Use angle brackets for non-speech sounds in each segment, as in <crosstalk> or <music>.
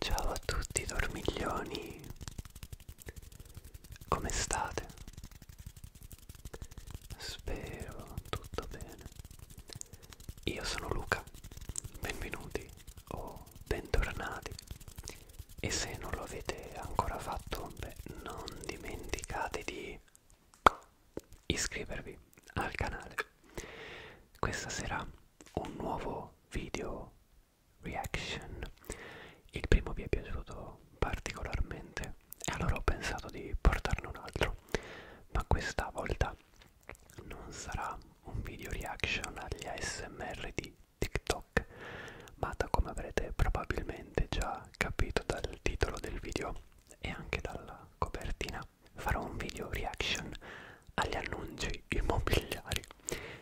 Ciao a tutti dormiglioni, come state? Spero tutto bene. Io sono Luca, benvenuti o bentornati e se non lo avete ancora fatto beh, non dimenticate di iscrivervi al canale questa sera un nuovo video reaction il primo vi è piaciuto particolarmente e allora ho pensato di portarne un altro ma questa volta non sarà un video reaction agli ASMR di TikTok, ma da come avrete probabilmente già capito dal titolo del video e anche dalla copertina, farò un video reaction agli annunci immobiliari.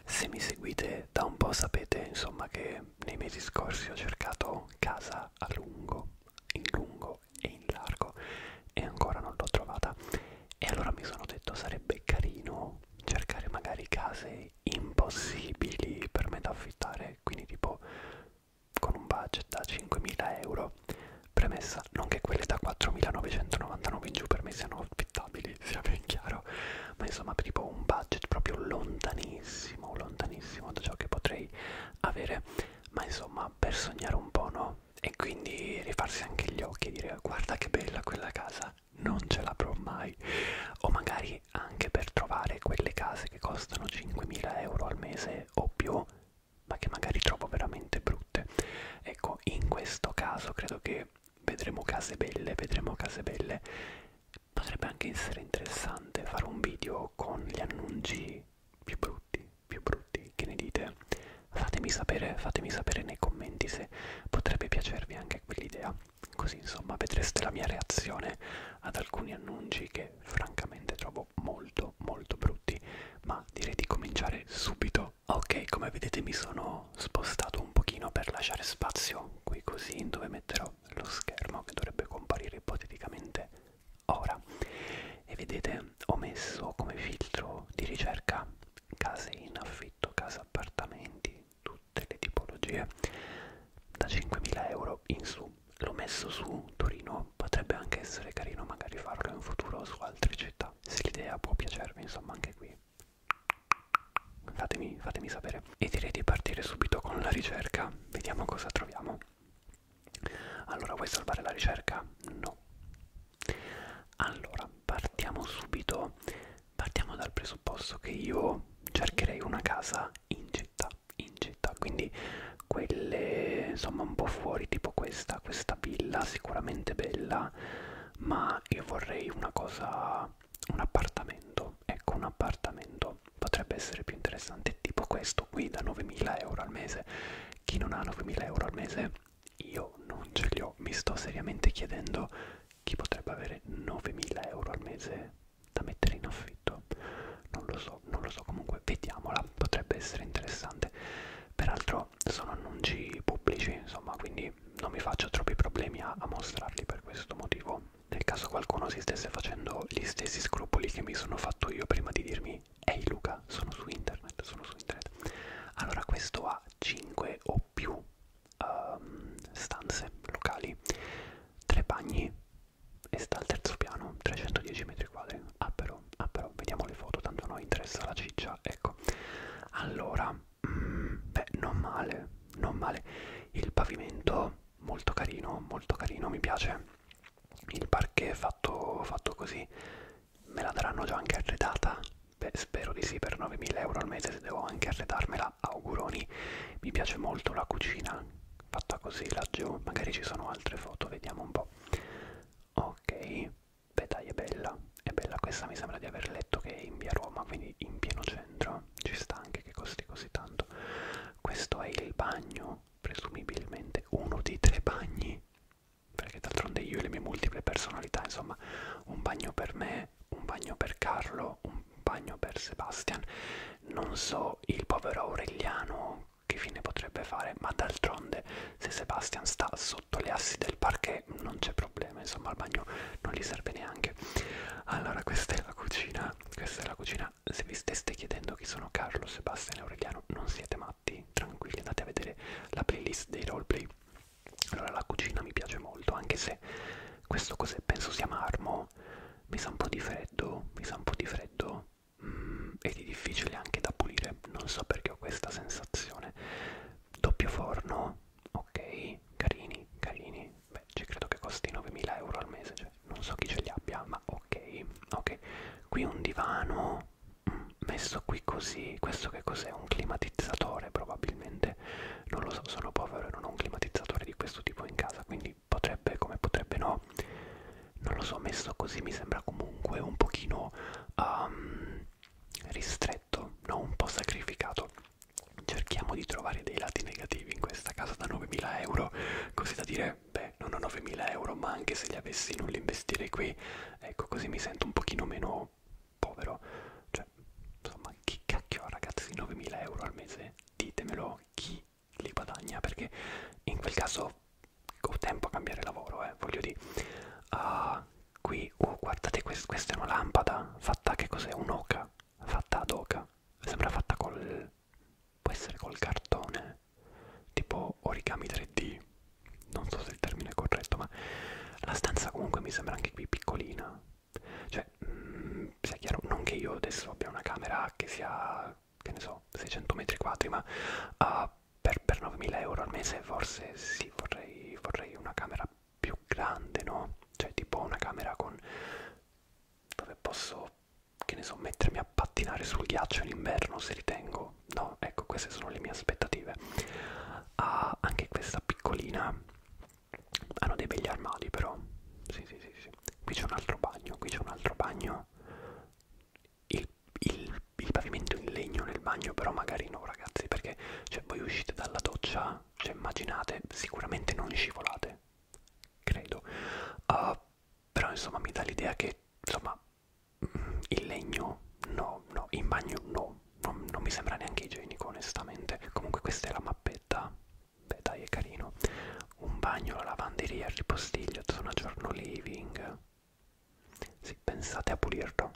Se mi seguite da un po' sapete insomma che nei mesi scorsi ho cercato casa a lungo, in lungo e in largo e ancora non l'ho trovata e allora mi sono detto sarebbe carino cercare magari case impossibili per me da affittare, quindi tipo con un budget da 5.000 euro. Premessa, non che quelle da 4.999 in giù per me siano affittabili, <laughs> sia ben chiaro, ma insomma per tipo un budget proprio lontanissimo, lontanissimo da ciò che potrei avere, ma insomma per sognare un po', no? E quindi rifarsi anche gli occhi e dire guarda che bella quella casa, non ce l'avrò mai. O magari lunghi anche per trovare quelle case che costano 5.000 euro al mese o più, ma che magari trovo veramente brutte. Ecco, in questo caso credo che vedremo case belle, vedremo case belle. Potrebbe anche essere interessante fare un video con gli annunci più brutti, più brutti, che ne dite? Fatemi sapere, fatemi sapere nei commenti se potrebbe piacervi anche quell'idea. Così insomma vedreste la mia reazione ad alcuni annunci che francamente trovo molto molto brutti, ma direi di cominciare subito. Ok, come vedete mi sono spostato un pochino per lasciare spazio qui così dove metterò lo schermo che dovrebbe comparire ipoteticamente ora. E vedete ho messo come filtro di ricerca case in affitto, case appartamenti, tutte le tipologie da 5.000 euro in su l'ho messo su Torino potrebbe anche essere carino magari farlo in futuro su altre città se l'idea può piacervi insomma anche qui fatemi, fatemi sapere e direi di partire subito con la ricerca vediamo cosa troviamo allora vuoi salvare la ricerca? no allora partiamo subito partiamo dal presupposto che io cercherei una casa in città, in città, quindi quelle insomma un po' fuori, tipo questa, questa villa sicuramente bella, ma io vorrei una cosa, un appartamento, ecco un appartamento, potrebbe essere più interessante, tipo questo qui da 9.000 euro al mese, chi non ha 9.000 euro al mese io non ce li ho, mi sto seriamente chiedendo chi potrebbe avere 9.000 euro al mese da mettere in affitto non lo so non lo so comunque vediamola potrebbe essere interessante peraltro sono annunci pubblici insomma quindi non mi faccio troppi problemi a, a mostrarli per questo motivo nel caso qualcuno si stesse facendo gli stessi scrupoli che mi sono fatto io prima di dirmi ehi Luca sono su internet sono su internet allora questo ha 5 o più um, stanze locali, tre bagni e sta al terzo piano, 310 metri quadri. Ah però, ah però, vediamo le foto, tanto a noi interessa la ciccia, ecco. Allora, mm, beh, non male, non male. Il pavimento molto carino, molto carino, mi piace. Il parquet fatto, fatto così, me la daranno già anche arredata? Beh, spero di sì, per 9.000 euro al mese se devo anche arredarmela allora auguroni mi piace molto la cucina fatta così laggiù magari ci sono altre foto vediamo un po' ok beh dai è bella è bella questa mi sembra di aver letto che è in via Roma quindi in pieno centro ci sta anche che costi così tanto questo è il bagno presumibilmente uno dei tre bagni perché d'altronde io e le mie multiple personalità insomma un bagno per me me, un bagno per Carlo, un bagno per Sebastian. Non so il povero Aureliano che fine potrebbe fare, ma d'altronde se Sebastian sta sotto le assi del parquet non c'è problema, insomma al bagno non gli serve neanche. Allora questa è la cucina, questa è la cucina, se vi steste chiedendo chi sono Carlo, Sebastian e Aureliano non siete matti, tranquilli andate a vedere la playlist dei roleplay. Allora la cucina mi piace molto, anche se questo cos'è? Penso sia marmo. Mi sa un po' di freddo, mi sa un po' di freddo mm, e di difficile anche da pulire. Non so perché ho questa sensazione. Doppio forno, ok, carini, carini. Beh, ci credo che costi 9.000 euro al mese, cioè non so chi ce li abbia, ma ok, ok. Qui un divano mm, messo qui così questo che cos'è un climatizzatore probabilmente non lo so, sono povero e non ho un climatizzatore di questo tipo in casa, quindi potrebbe come potrebbe no. Non lo so, messo così mi sembra comunque un pochino um, ristretto, no? un po' sacrificato. Cerchiamo di trovare dei lati negativi in questa casa da 9.000 euro, così da dire, beh, non ho 9.000 euro, ma anche se li avessi non li investirei qui, ecco, così mi sento un pochino meno povero. Cioè, cioè, insomma, chi cacchio ha ragazzi 9.000 euro al mese? Ditemelo chi li guadagna, perché in quel caso ho tempo a cambiare lavoro, eh, voglio dire. Ah, uh, qui, oh, guardate, quest questa è una lampada fatta, che cos'è? Un'oca, fatta ad oca, sembra fatta col... può essere col cartone, tipo origami 3D, non so se il termine è corretto, ma la stanza comunque mi sembra anche qui piccolina cioè, mh, mm, sia chiaro, non che io adesso abbia una camera che sia, che ne so, 600 metri quadri, ma uh, per, per 9.000 euro al mese forse sì, vorrei, vorrei una camera più grande, no? Cioè, tipo una camera con... dove posso, che ne so, mettermi a pattinare sul ghiaccio in inverno se ritengo. No, ecco, queste sono le mie aspettative. Uh, anche questa piccolina hanno dei begli armadi però sì sì sì, sì. qui c'è un altro bagno qui c'è un altro bagno il, il, il pavimento in legno nel bagno però magari no ragazzi perché cioè, voi uscite dalla doccia cioè immaginate sicuramente non scivolate credo uh, però insomma mi dà l'idea che insomma il legno no no in bagno no non, non mi sembra neanche igienico onestamente comunque questa è la mappetta beh dai è carino un bagno, la lavanderia, il ripostiglio, zona giorno living sì, pensate a pulirlo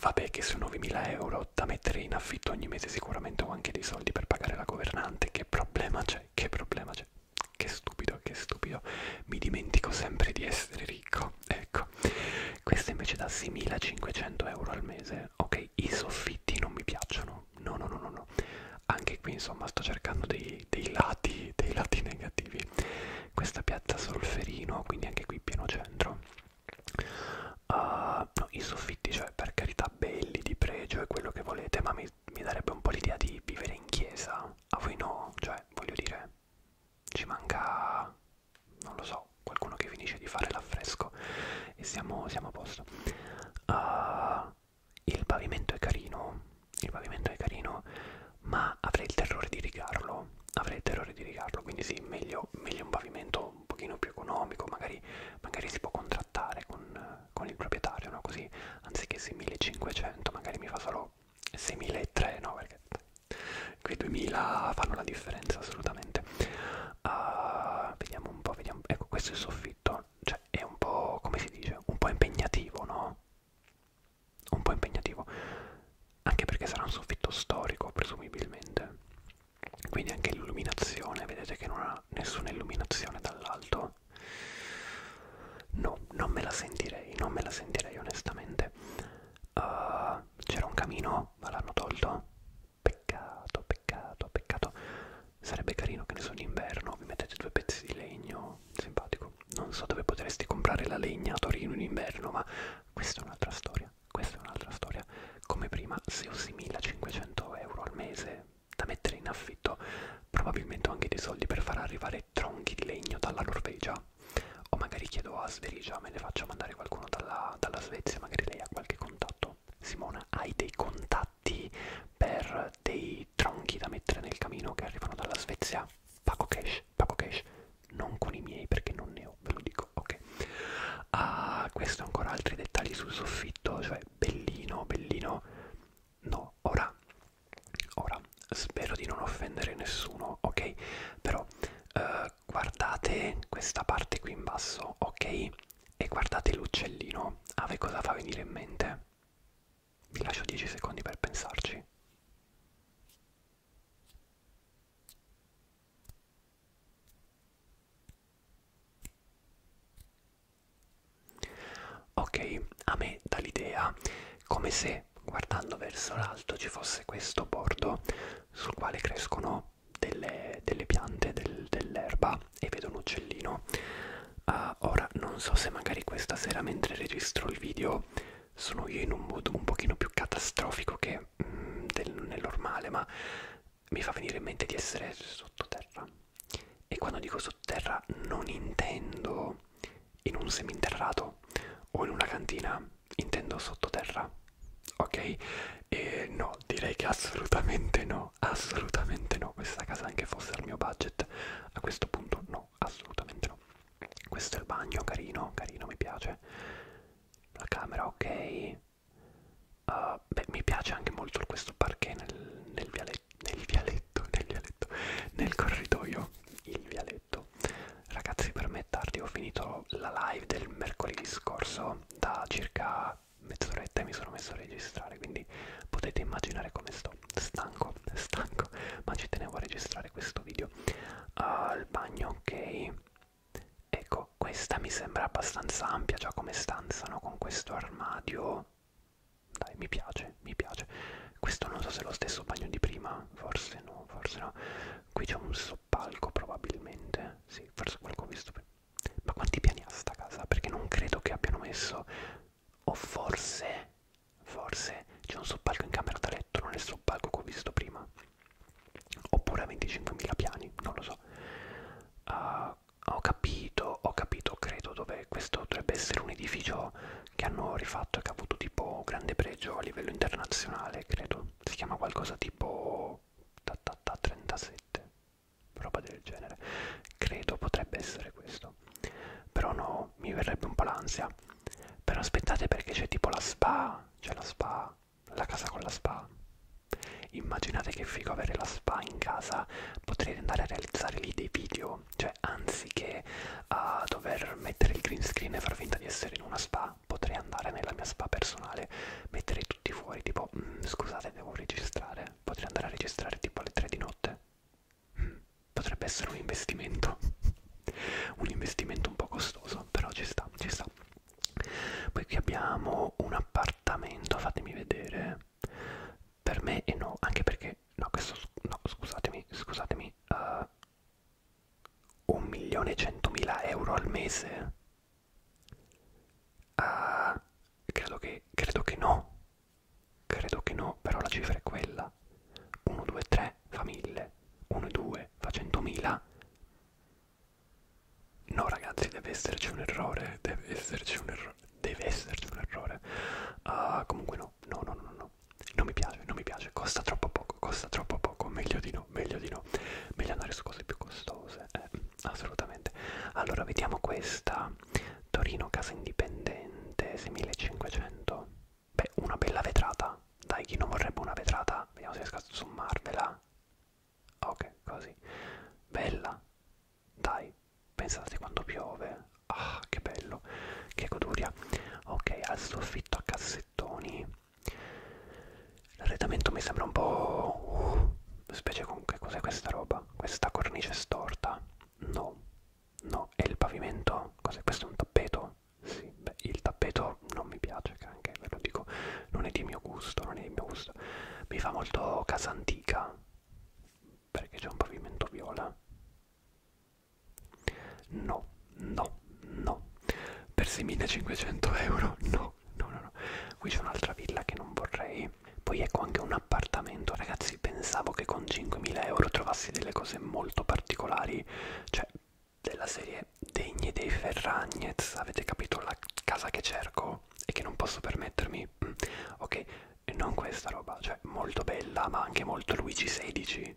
vabbè che su 9.000 euro da mettere in affitto ogni mese sicuramente ho anche dei soldi per pagare la governante che problema c'è, che problema c'è che stupido, che stupido mi dimentico sempre di essere ricco ecco questa invece da 6.500 euro al mese ok ok i soffitti non mi piacciono no no no no no anche qui insomma sto cercando dei, dei lati dei lati negativi questa piazza solferino quindi anche qui pieno centro uh, no, i soffitti cioè per carità belli di pregio e quello che volete ma mi, mi darebbe un po' l'idea di vivere in chiesa a voi no cioè voglio dire ci manca non lo so so, qualcuno che finisce di fare l'affresco e siamo, siamo a posto. Uh, il pavimento è carino, il pavimento è carino, ma avrei il terrore di rigarlo, avrei il terrore di rigarlo, quindi sì, meglio, meglio un pavimento un pochino più economico, magari, magari si può contrattare con, con il proprietario, no? così anziché 6500 magari mi fa solo 6300, no? perché qui 2000 fanno la differenza assolutamente uh, vediamo un po', vediamo, ecco questo è il soffitto, cioè è un po', come si dice, un po' impegnativo, no? Un po' impegnativo, anche perché sarà un soffitto storico presumibilmente, quindi anche l'illuminazione, vedete che non ha nessuna illuminazione dall'alto, no, non me la sentirei, non me la sentirei onestamente. Uh, C'era un camino, ma l'hanno tolto? Peccato, peccato, peccato. Sarebbe carino che ne so in inverno, vi mettete due pezzi di legno, simpatico. Non so dove potresti comprare la legna a Torino in inverno, ma questa è un'altra storia, questa è un'altra storia. Come prima, se usi 1500 euro al mese da mettere in affitto, probabilmente ho anche dei soldi per far arrivare tronchi di legno dalla Norvegia. O magari chiedo a Sverigia, me ne faccio mandare qualcuno dalla, dalla Svezia, magari lei ha qualche contatto tutto. Certo. Simona, hai dei contatti per dei tronchi da mettere nel camino che arrivano dalla Svezia? Paco cash, paco cash, non con i miei perché non ne ho, ve lo dico, ok. Ah, questo ancora altri dettagli sul soffitto, cioè bellino, bellino. No, ora, ora, spero di non offendere nessuno, ok? Però eh, guardate questa parte qui in basso, ok? E guardate l'uccellino, a voi cosa fa venire in mente? Vi lascio 10 secondi per pensarci. Ok, a me dà l'idea come se guardando verso l'alto ci fosse questo bordo sul quale crescono delle, delle piante, del, dell'erba e vedo un uccellino. Uh, ora non so se magari questa sera mentre registro il video sono io in un mood un pochino più catastrofico che mm, del, nel normale, ma mi fa venire in mente di essere sottoterra. E quando dico sottoterra non intendo in un seminterrato o in una cantina, intendo sottoterra ok? E no, direi che assolutamente no, assolutamente no, questa casa anche fosse al mio budget, a questo punto no, assolutamente no. Questo è il bagno, carino, carino, mi piace. La camera, ok. Uh, beh, mi piace anche molto questo parquet nel, nel, viale, nel vialetto, nel vialetto, nel corridoio, il vialetto. Ragazzi, per me è tardi, ho finito la live del mercoledì scorso da circa mezz'oretta e mi sono messo a registrare quindi potete immaginare come sto stanco stanco ma ci tenevo a registrare questo video al uh, bagno ok ecco questa mi sembra abbastanza ampia già come stanzano con questo armadio dai mi piace mi piace questo non so se è lo stesso bagno di prima forse no forse no qui c'è un soppalco probabilmente sì forse qualcuno ho visto prima ma quanti piani ha sta casa? Perché non credo che abbiano messo... O forse... Forse c'è un soppalco in camera da letto, non è il soppalco che ho visto prima. Oppure a 25.000 piani, non lo so. Uh, ho capito, ho capito, credo, dove questo dovrebbe essere un edificio che hanno rifatto e che ha avuto tipo grande pregio a livello internazionale, credo. Si chiama qualcosa tipo tipo ta, ta, ta 37 roba del genere credo potrebbe essere questo però no mi verrebbe un po' l'ansia però aspettate perché c'è tipo la spa c'è la spa la casa con la spa immaginate che figo avere la spa in casa potrete andare a realizzare lì dei video cioè anziché a dover mettere il green screen e far finta di essere in una spa spa, potrei andare nella mia spa personale, mettere tutti fuori, tipo, mm, scusate devo registrare, potrei andare a registrare tipo alle 3 di notte. Mm, potrebbe essere un investimento, <laughs> un investimento un po' costoso, però ci sta, ci sta. Poi qui abbiamo un appartamento, fatemi vedere, per me e no, anche perché, no questo, no scusatemi, scusatemi, uh, eh, 1.100.000 euro al mese? Uh, credo, che, credo che no, credo che no, però la cifra è quella. 1, 2, 3 fa 1000, 1, 2 fa 100.000. No ragazzi, deve esserci un errore, deve esserci un errore, deve esserci un errore. Uh, comunque no, no, no, no, no, non mi piace, non mi piace, costa troppo poco, costa troppo poco, meglio di no no, meglio di no, meglio andare su cose più costose, eh, assolutamente. Allora, vediamo questa, Torino Casa Indipendente, 6500, beh, una bella vetrata, dai, chi non vorrebbe una vetrata? Vediamo se riesco a sommarvela, ok, così, bella, dai, pensate quando piove, ah, che bello, che goduria, ok, al soffitto a cassettoni L'arredamento mi sembra un po'... Uh, specie con che cos'è questa roba? Questa cornice storta? No, no. E il pavimento? Cos'è? Questo è un tappeto? Sì, beh, il tappeto non mi piace, che anche ve lo dico, non è di mio gusto, non è di mio gusto. Mi fa molto casa antica, perché c'è un pavimento viola. No, no, no. Per 6500 euro, no no, no, no, no. Qui c'è un'altra villa che non vorrei. Poi ecco anche un appartamento, ragazzi, pensavo che con 5.000 euro trovassi delle cose molto particolari, cioè della serie degne dei Ferragnez, avete capito la casa che cerco e che non posso permettermi? Mm. Ok, e non questa roba, cioè molto bella, ma anche molto Luigi XVI.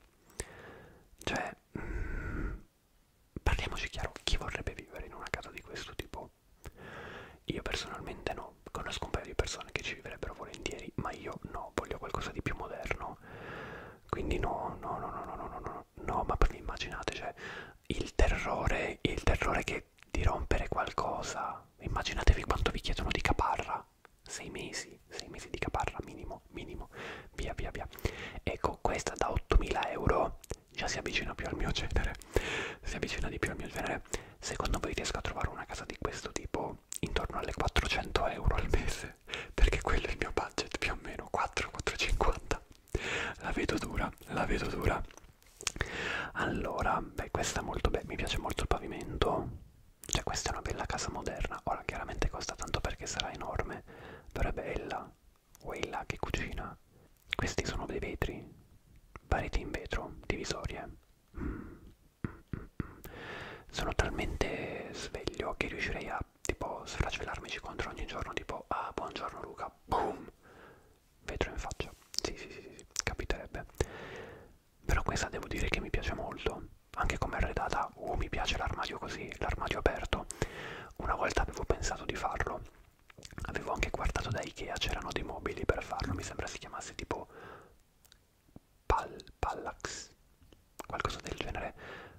Cioè, mm, parliamoci chiaro, chi vorrebbe vivere in una casa di questo tipo? Io personalmente no, conosco un paio di persone che ci vivrebbero volentieri, ma io no, voglio qualcosa di più moderno. Quindi no, no, no, no, no, no, no, no, no, ma poi immaginate, cioè, il terrore, il terrore che di rompere qualcosa. Immaginatevi quanto vi chiedono di caparra. Sei mesi, sei mesi di caparra minimo, minimo, via via via. Ecco, questa da 8.000 euro già si avvicina più al mio genere, si avvicina di più al mio genere, secondo voi riesco a trovare una casa di questo tipo intorno alle 400 euro al mese? Perché quello è il mio budget, più o meno 4-4,50. La vedo dura, la vedo dura. Allora, beh, questa è molto bella, mi piace molto il pavimento. Cioè, questa è una bella casa moderna. Ora, chiaramente costa tanto perché sarà enorme, però è bella quella che cucina. Questi sono dei vetri, pareti in vetro, divisorie. Mm, mm, mm, mm. Sono talmente sveglio che riuscirei a tipo sfracellarmici contro ogni giorno, tipo ah buongiorno Luca, boom, vetro in faccia. Sì, sì, sì, sì, capiterebbe. Però questa devo dire che mi piace molto, anche come arredata, oh mi piace l'armadio così, l'armadio aperto. Una volta avevo pensato di farlo, avevo anche guardato da Ikea, c'erano dei mobili per farlo, mi sembra si chiamasse tipo Pal Pallax, qualcosa del genere,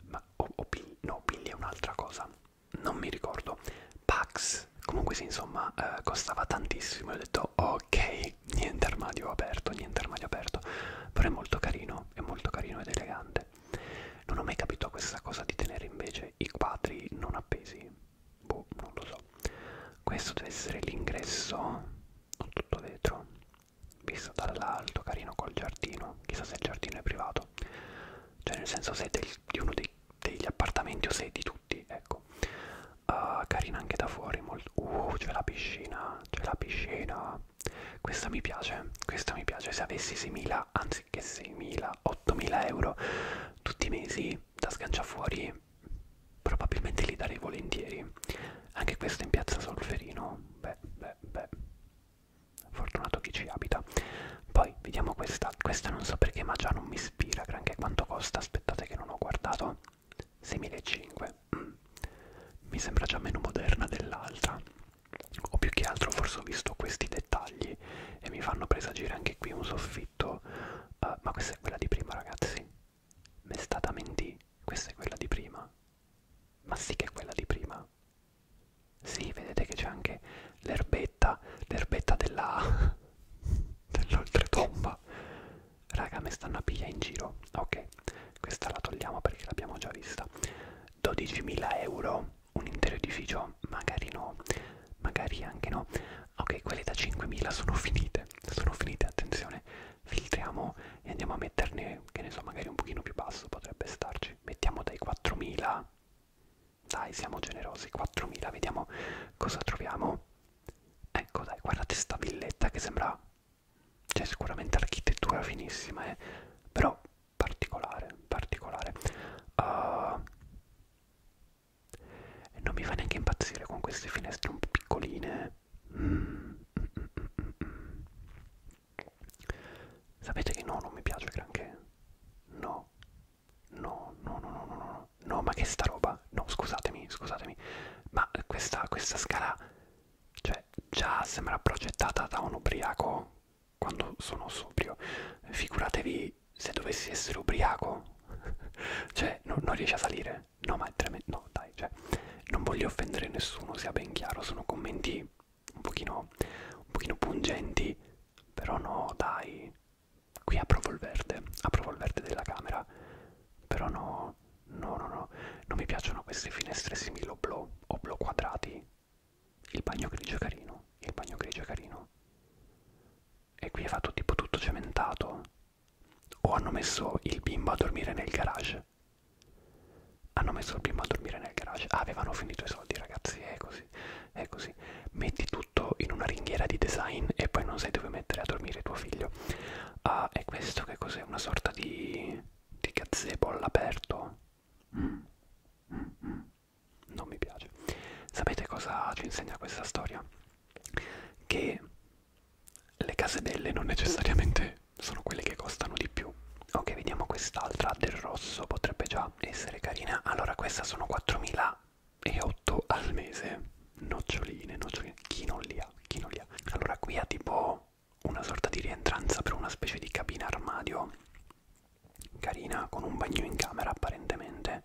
ma o, o Bill, no, Billy è un'altra cosa, non mi ricordo, Pax, comunque sì, insomma, eh, costava tantissimo, e ho detto ok, niente armadio aperto, niente armadio aperto, però è molto carino, è molto carino ed elegante. Non ho mai capito questa cosa di tenere invece i quadri non appesi. Boh, non lo so. Questo deve essere l'ingresso, non tutto vetro, visto dall'alto, carino col giardino. Chissà se il giardino è privato. Cioè nel senso se è del, di uno dei, degli appartamenti o se è di tutti, ecco. Uh, carina anche da fuori, molto... Uh, c'è la piscina, c'è la piscina. Questa mi piace, questa mi piace. Se avessi 6.000, anzi anziché 6.000-8.000 euro tutti i mesi da sganciafuori, probabilmente li darei volentieri. Anche questo in piazza Solferino, beh, beh, beh, fortunato chi ci abita. Poi vediamo questa, questa non so perché ma già non mi ispira granché quanto costa, aspettate che non ho guardato, 6.500, mm. mi sembra già meno moderna dell'altra o più che altro forse ho visto questi dettagli e mi fanno presagire anche qui un soffitto uh, ma questa è quella di prima ragazzi mi è stata mentì questa è quella di prima ma sì che è quella di prima sì vedete che c'è anche l'erbetta l'erbetta della <laughs> dell'oltretomba raga mi stanno a piglia in giro ok questa la togliamo perché l'abbiamo già vista 12.000 euro un intero edificio magari no magari anche no ok quelle da 5.000 sono finite sono finite attenzione filtriamo e andiamo a metterne che ne so magari un pochino più basso potrebbe starci mettiamo dai 4.000 dai siamo generosi 4.000 vediamo cosa troviamo ecco dai guardate sta villetta che sembra cioè sicuramente architettura finissima eh però particolare, particolare. Uh, e non mi fa neanche impazzire con queste finestre un po' piccoline. Mm, mm, mm, mm. Sapete che no, non mi piace granché. No. No, no, no, no, no, no. No, ma che sta roba? No, scusatemi, scusatemi. Ma questa, questa scala, cioè, già sembra progettata da un ubriaco quando sono sobrio. Figuratevi se dovessi essere ubriaco, <laughs> cioè no, non riesci a salire. No, ma è tremendo. No, dai, cioè, non voglio offendere nessuno, sia ben chiaro. Sono commenti un pochino, un pochino pungenti, però no, dai. Qui approvo il verde, approvo il verde della camera, però no, no, no, no. Non mi piacciono queste finestre simili oblò, oblò quadrati il bagno grigio è carino, il bagno grigio è carino. E qui è fatto tipo tutto cementato. O hanno messo il bimbo a dormire nel garage. Hanno messo il bimbo a dormire nel garage. Ah, avevano finito i soldi, ragazzi. È così, è così. Metti tutto in una ringhiera di design e poi non sai dove mettere a dormire tuo figlio. Ah, e questo che cos'è? Una sorta di, di gazebo all'aperto? Non mi piace. Sapete cosa ci insegna questa storia? Che le case belle non necessariamente sono quelle che costano di più. Ok, vediamo quest'altra del rosso, potrebbe già essere carina. Allora, questa sono 4.008 al mese. Noccioline, noccioline. Chi non li ha? Chi non li ha? Allora, qui ha tipo una sorta di rientranza per una specie di cabina armadio carina con un bagno in camera apparentemente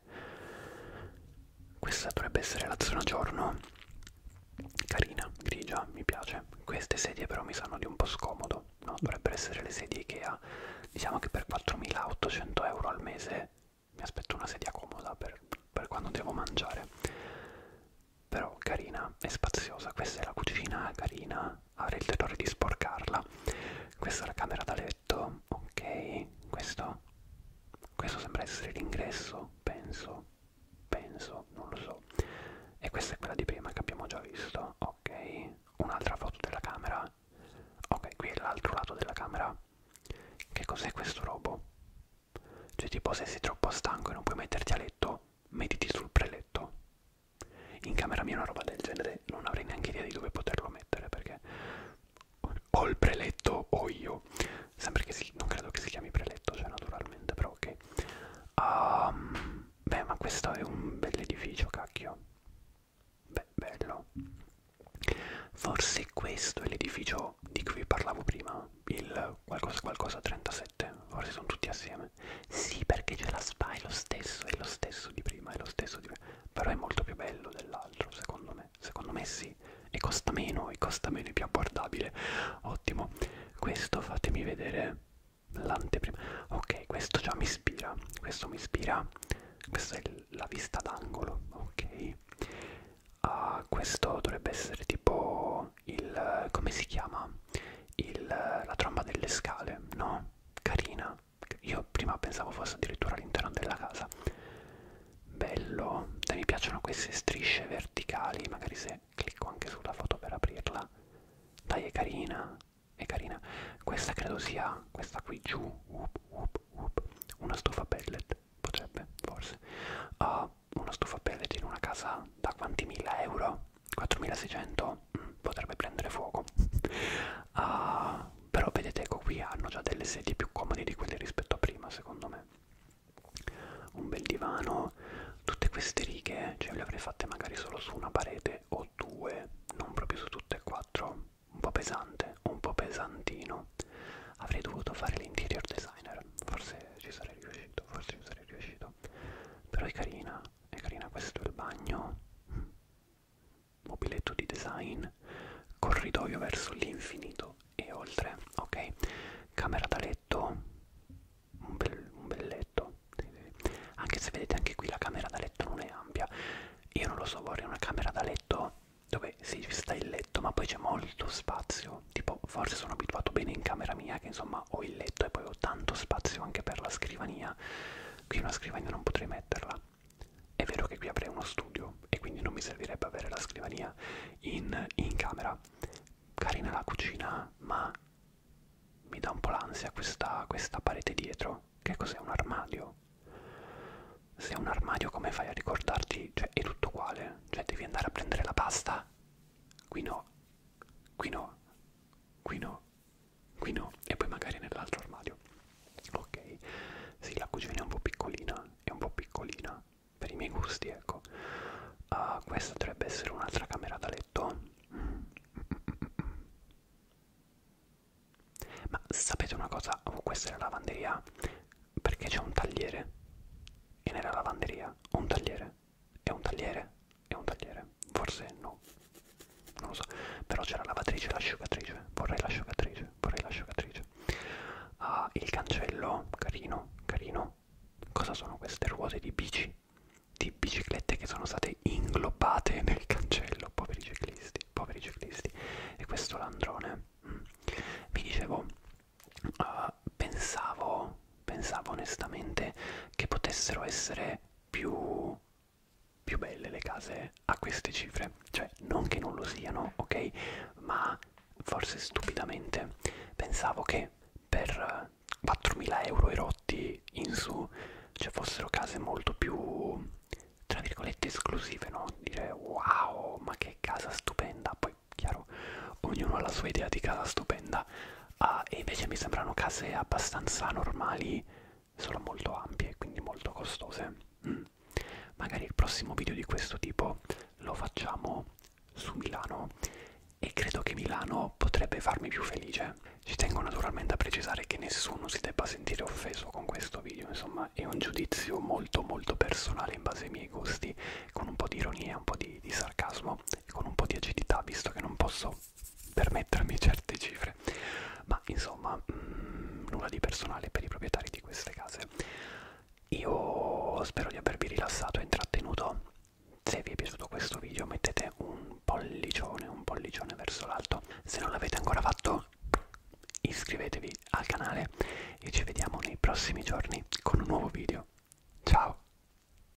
questa dovrebbe essere la zona giorno carina grigia mi piace queste sedie però mi sanno di un po' scomodo no dovrebbero essere le sedie Ikea diciamo che per 4800 euro al mese mi aspetto una sedia comoda per, per quando devo mangiare però carina e spaziosa questa è la cucina carina avrei il terrore di sporcarla. Questa è la camera da letto, ok, questo, questo sembra essere l'ingresso, penso, penso, non lo so. E questa è quella di prima che abbiamo già visto, ok, un'altra foto della camera, ok, qui è l'altro lato della camera. Che cos'è questo robo? Cioè tipo se sei troppo stanco e non puoi metterti a letto, mediti sul preletto. In camera mia una roba del genere non avrei neanche idea di dove poterlo mettere perché o il preletto o io. Sempre che si, non credo che si chiami preletto, cioè naturalmente, però ok. Um, beh, ma questo è un bell'edificio, cacchio. Beh, bello. Forse questo è l'edificio di cui vi parlavo prima, il qualcosa qualcosa 37, forse sono tutti assieme insieme. Sì, perché c'è la spa, è lo stesso, è lo stesso di prima, è lo stesso di prima. Però è molto più bello dell'altro, secondo me. Secondo me sì. E costa meno, e costa meno, è più abbordabile. Ottimo. Questo fatemi vedere l'anteprima. Ok, questo già mi ispira. Questo mi ispira. Questa è la vista d'angolo, ok. Uh, questo dovrebbe essere tipo il... come si chiama? il, la tromba delle scale, no? Carina. Io prima pensavo fosse addirittura all'interno della casa. Bello. E mi piacciono queste strisce verticali, magari se clicco anche sulla foto per aprirla. Dai, è carina. È carina. Questa credo sia, questa qui giù, up, up, up. una stufa pellet, potrebbe, forse. Uh, una stufa pellet in una casa da quanti mila euro? 4600 mm, potrebbe prendere fuoco uh, però vedete ecco qui hanno già delle sedie più comode di quelle rispetto a prima secondo me un bel divano tutte queste righe ce cioè, le avrei fatte magari solo su una parete o due non proprio su tutte e quattro un po' pesante un po' pesantino avrei dovuto fare l'interior designer forse ci sarei riuscito forse ci sarei riuscito però è carina è carina questo è il bagno mobiletto di design corridoio verso l'infinito e oltre ok camera da letto un bel, un bel letto sì, sì. anche se vedete anche qui la camera da letto non è ampia io non lo so vorrei una camera da letto dove sì, ci sta il letto ma poi c'è molto spazio tipo forse sono abituato bene in camera mia che insomma ma ho il letto e poi ho tanto spazio anche per la scrivania qui una scrivania non potrei metterla è vero che qui avrei uno studio e quindi non mi servirebbe avere la scrivania in, in camera carina la cucina ma mi dà un po' l'ansia questa, questa parete dietro che cos'è un armadio se è un armadio come fai a ricordarti cioè è tutto uguale cioè devi andare a prendere la pasta qui no qui no qui no qui no, e poi magari nell'altro armadio. Ok, sì, la cucina è un po' piccolina, è un po' piccolina per i miei gusti, ecco. Uh, questa dovrebbe essere un'altra camera da letto. Mm. Ma sapete una cosa? Oh, questa è la lavanderia perché c'è un tagliere. E nella lavanderia un tagliere. È un tagliere? È un tagliere? Forse no. Non lo so. Però c'è la lavatrice e l'asciugatrice. Vorrei l'asciugatrice. Vorrei l'asciugatrice. Ah, il cancello. Carino, carino. Cosa sono queste ruote di bici? Di biciclette che sono state inglobate nel cancello. Poveri ciclisti, poveri ciclisti. E questo landrone. Vi mm. dicevo, uh, pensavo pensavo onestamente che potessero essere più, più belle le case a queste cifre. Cioè, non che non lo siano, ok? Ma forse stupidamente pensavo che per 4.000 euro erotti in su ci cioè fossero case molto più tra virgolette esclusive, no? Dire wow, ma che casa stupenda! Poi, chiaro, ognuno ha la sua idea di casa stupenda, uh, e invece mi sembrano case abbastanza normali, solo molto ampie, quindi molto costose. Mm. Magari il prossimo video di questo tipo lo facciamo su Milano e credo che Milano potrebbe farmi più felice. Ci tengo naturalmente a precisare che nessuno si debba sentire offeso con questo video, insomma è un giudizio molto molto personale in base ai miei gusti, con un po' di ironia, un po' di, di sarcasmo e con un po' di agilità, visto che non posso posso permettermi certe cifre ma insomma mh, mm, nulla di personale per i proprietari di queste case io spero di avervi rilassato e intrattenuto se vi è piaciuto questo video mettete un pollicione un pollicione verso l'alto se non l'avete ancora fatto iscrivetevi al canale e ci vediamo nei prossimi giorni con un nuovo video ciao